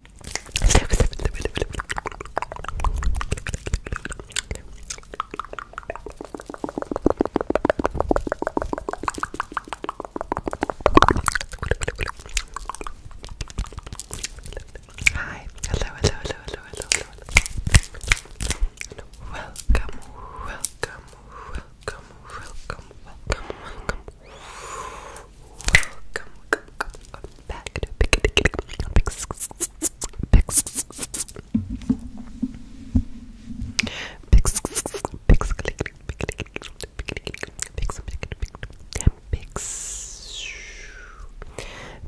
Hi, hello, hello, hello, hello, hello, welcome, welcome, welcome, welcome, welcome welcome, welcome, welcome back to Pick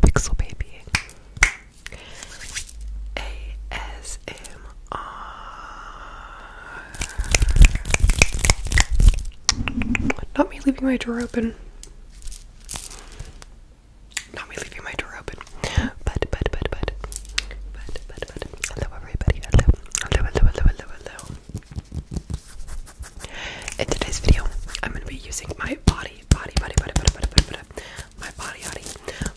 Pixel Baby ASMR not me leaving my drawer open. Not me leaving my door open. But, but, but, but, Hello, everybody. Hello. Hello, hello, hello, hello, hello. In today's video, I'm going to be using my body, body, body, body, body, body, body, my body, body,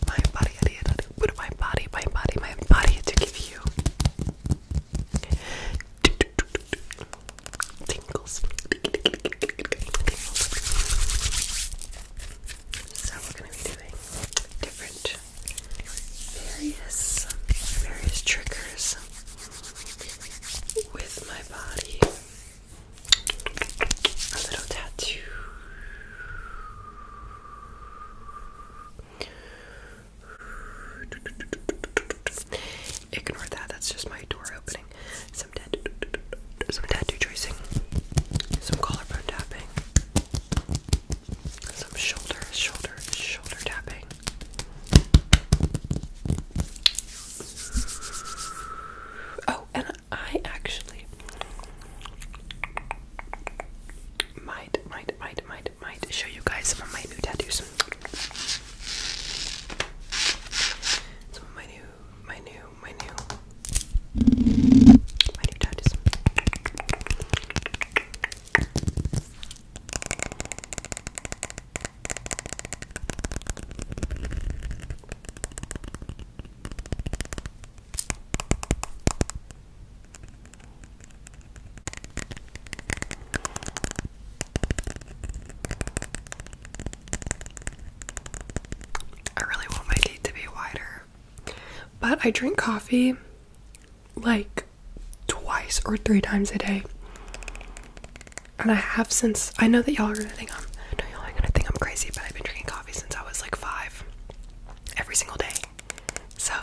my body, body, body, my body, my body, my body to give you, Tingles. So we're gonna be doing different various various triggers with my body. A little tattoo. Ignore that, that's just my door opening. Some tattoo, some tattoo tracing, some collarbone tapping, some shoulder, shoulder, shoulder tapping. Oh, and I actually might, might, might, might, might might show you guys some of my new tattoos. Some of my new my new my new my new tattoos. I really want my teeth to be wider. But I drink coffee like twice or three times a day. And I have since I know that y'all are gonna think I'm y'all are gonna think I'm crazy, but I've been drinking coffee since I was like five every single day. So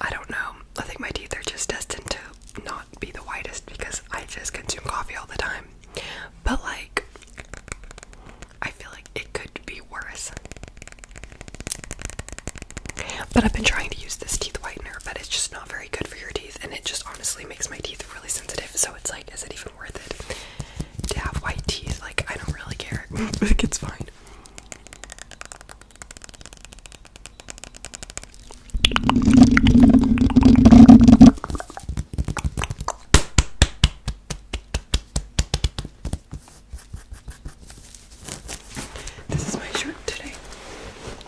I don't know. I think my teeth are just destined to not be the whitest because I just consume coffee all the time. But like I feel like it could be worse. But I've been trying to use this teeth whitener, but it's just not very good for your teeth and it just honestly makes my teeth really sensitive. So it's like is it even worth it to have white teeth? Like I don't really care. like it's fine. This is my shirt today.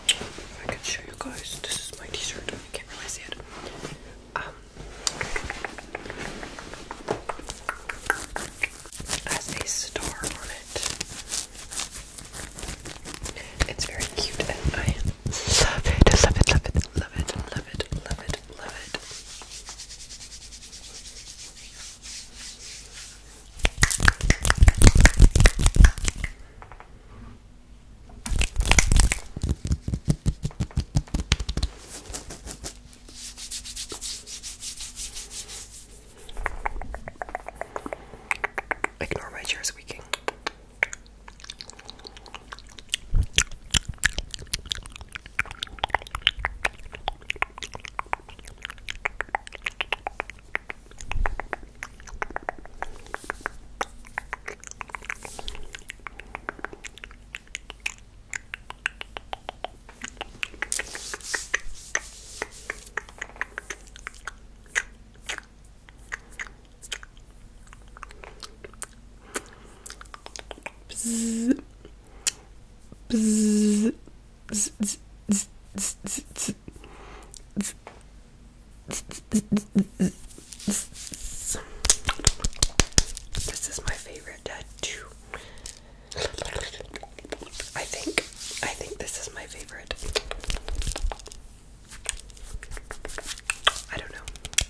If I can show you guys, this is my t-shirt. You can't really see it. Um, has a star on it. It's very cute and I love it, love it, love it, love it, love it, love it, Ignore my chair squeaking. Bzz. Bzz. Bzz. Bzz. Bzz. Bzz. Bzz. Bzz. This is my favorite tattoo. I think I think this is my favorite. I don't know.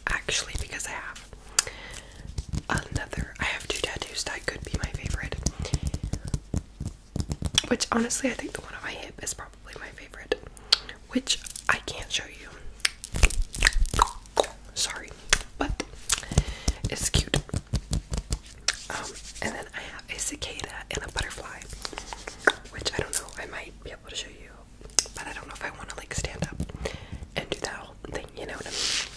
Actually because I have another I have two tattoos that could be my favorite. Which honestly I think the one on my hip is probably my favorite. Which I can't show you. Sorry, but it's cute. Um, and then I have a cicada and a butterfly, which I don't know. I might be able to show you, but I don't know if I want to like stand up and do that whole thing. You know what I mean?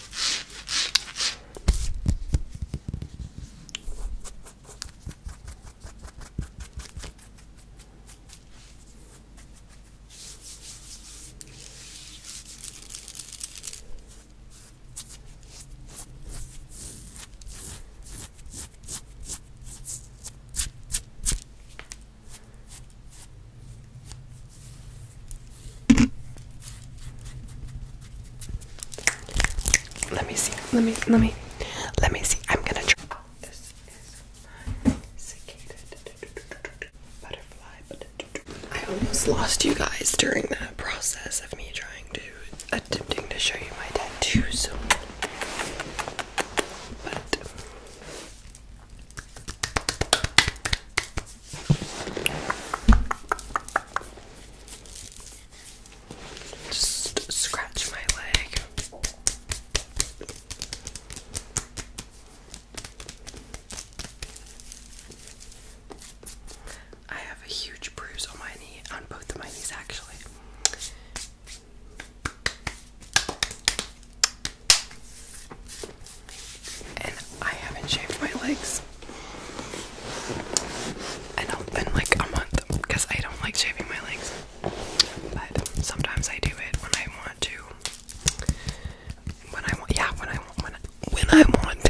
Let me see. Let me let me let me see. I'm gonna try. Oh, this is I almost lost you guys during the process of me trying to attempting to show you my tattoos. But just scratch my leg. I have a huge bruise on my knee, on both of my knees actually. And I haven't shaved my legs. I don't been like a month because I don't like shaving my legs. But sometimes I do it when I want to. When I want, yeah, when I when when I want to.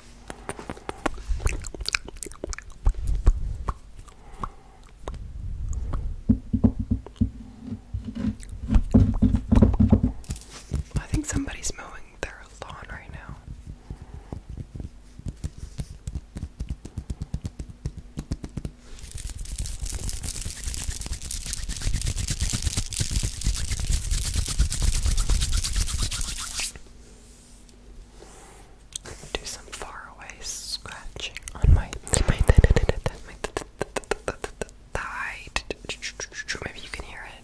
I think somebody's mowing their lawn right now do some faraway scratching on my thigh. Maybe you can hear it.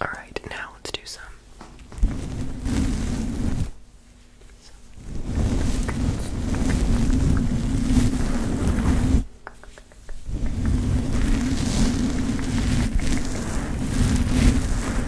All right, now let's do some.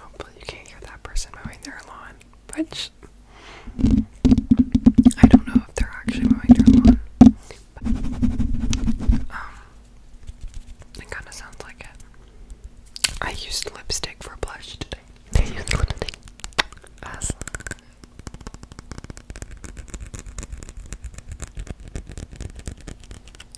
Hopefully, you can't hear that person mowing their lawn, which I don't know if they're actually mowing their lawn. um, it kind of sounds like it. I used lipstick for blush today. I used lipstick as.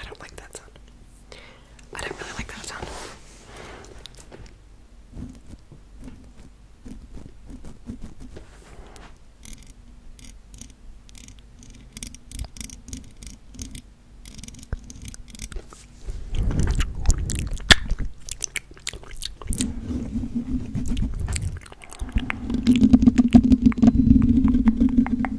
I don't like that sound. I don't really like that sound.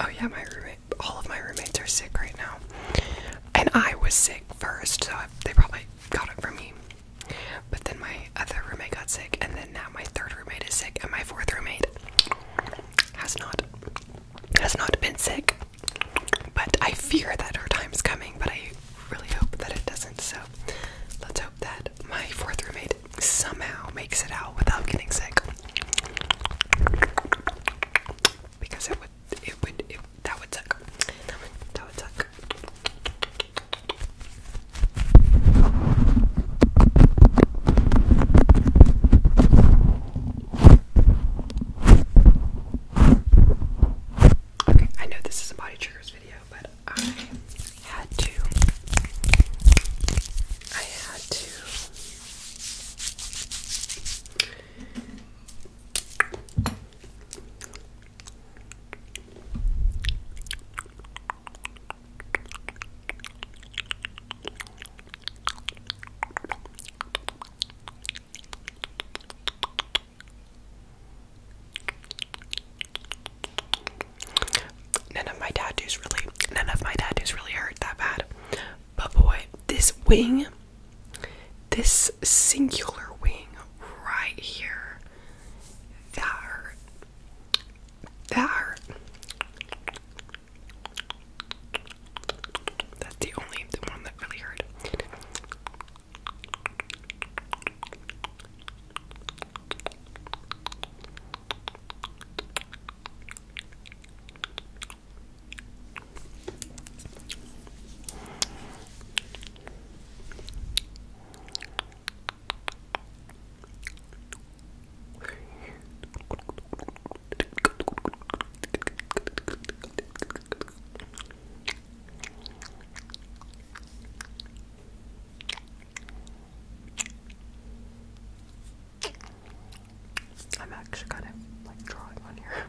Oh, yeah, my roommate, all of my roommates are sick right now. And I was sick first, so they probably got it from me. But then my other roommate got sick, and then now my third roommate is sick, and my fourth roommate has not has not been sick. But I fear that her is coming, but I really hope that it doesn't. So let's hope that my fourth roommate somehow makes it out without getting sick. Because it would it would that would suck. That would that would suck. Okay, I know this is a body triggers video, but I had to I had to None of my tattoos really, none of my tattoos really hurt that bad. But boy, this wing this singular wing right here, that hurt. That's the only one that really hurt. I'm actually kind of like drawing on here.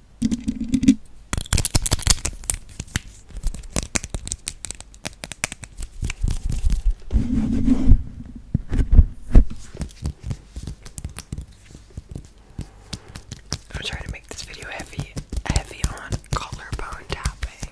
I'm trying to make this video heavy, heavy on collarbone tapping.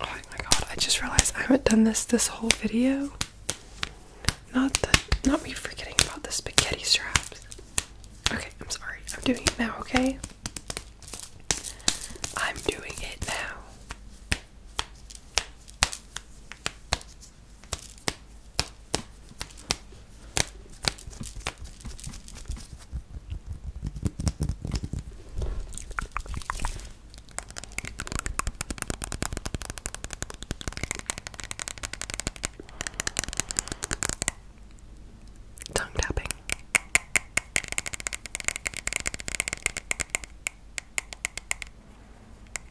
Oh my god, I just realized I haven't done this this whole video. Not the not me forgetting about the spaghetti straps. Okay, I'm sorry. I'm doing it now, okay? I'm doing it now. Tongue tapping.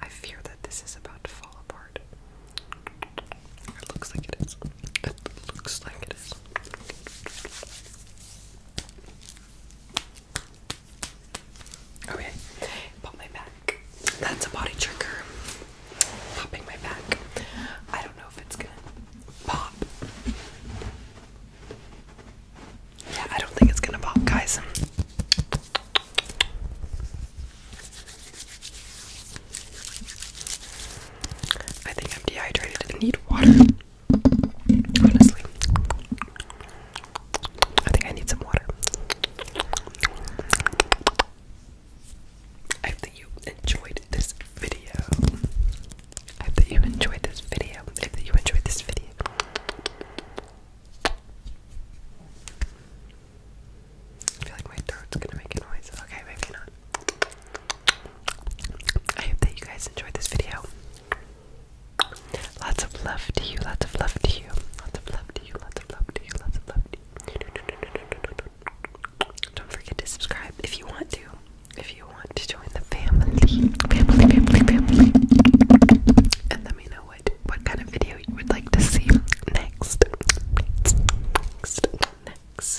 I fear that this is about to fall apart. It looks like it is. It looks like it is. Okay, pop my back. That's a body trigger. Popping my back. I don't know if it's gonna pop. Yeah, I don't think it's gonna pop, guys. I think I'm dehydrated I need water. Honestly, I think I need some water. I hope that you enjoyed this video. I hope that you enjoyed this video. I hope that you enjoyed this video. I feel like my throat's gonna make a noise. Okay, maybe not. I hope that you guys enjoyed this video. Lots of love to you, lots of love to you, lots of love to you, lots of love to you, lots of love to you. Don't forget to subscribe if you want to. If you want to join the family, family, family, family. And let me know what what kind of video you would like to see next. Next. Next.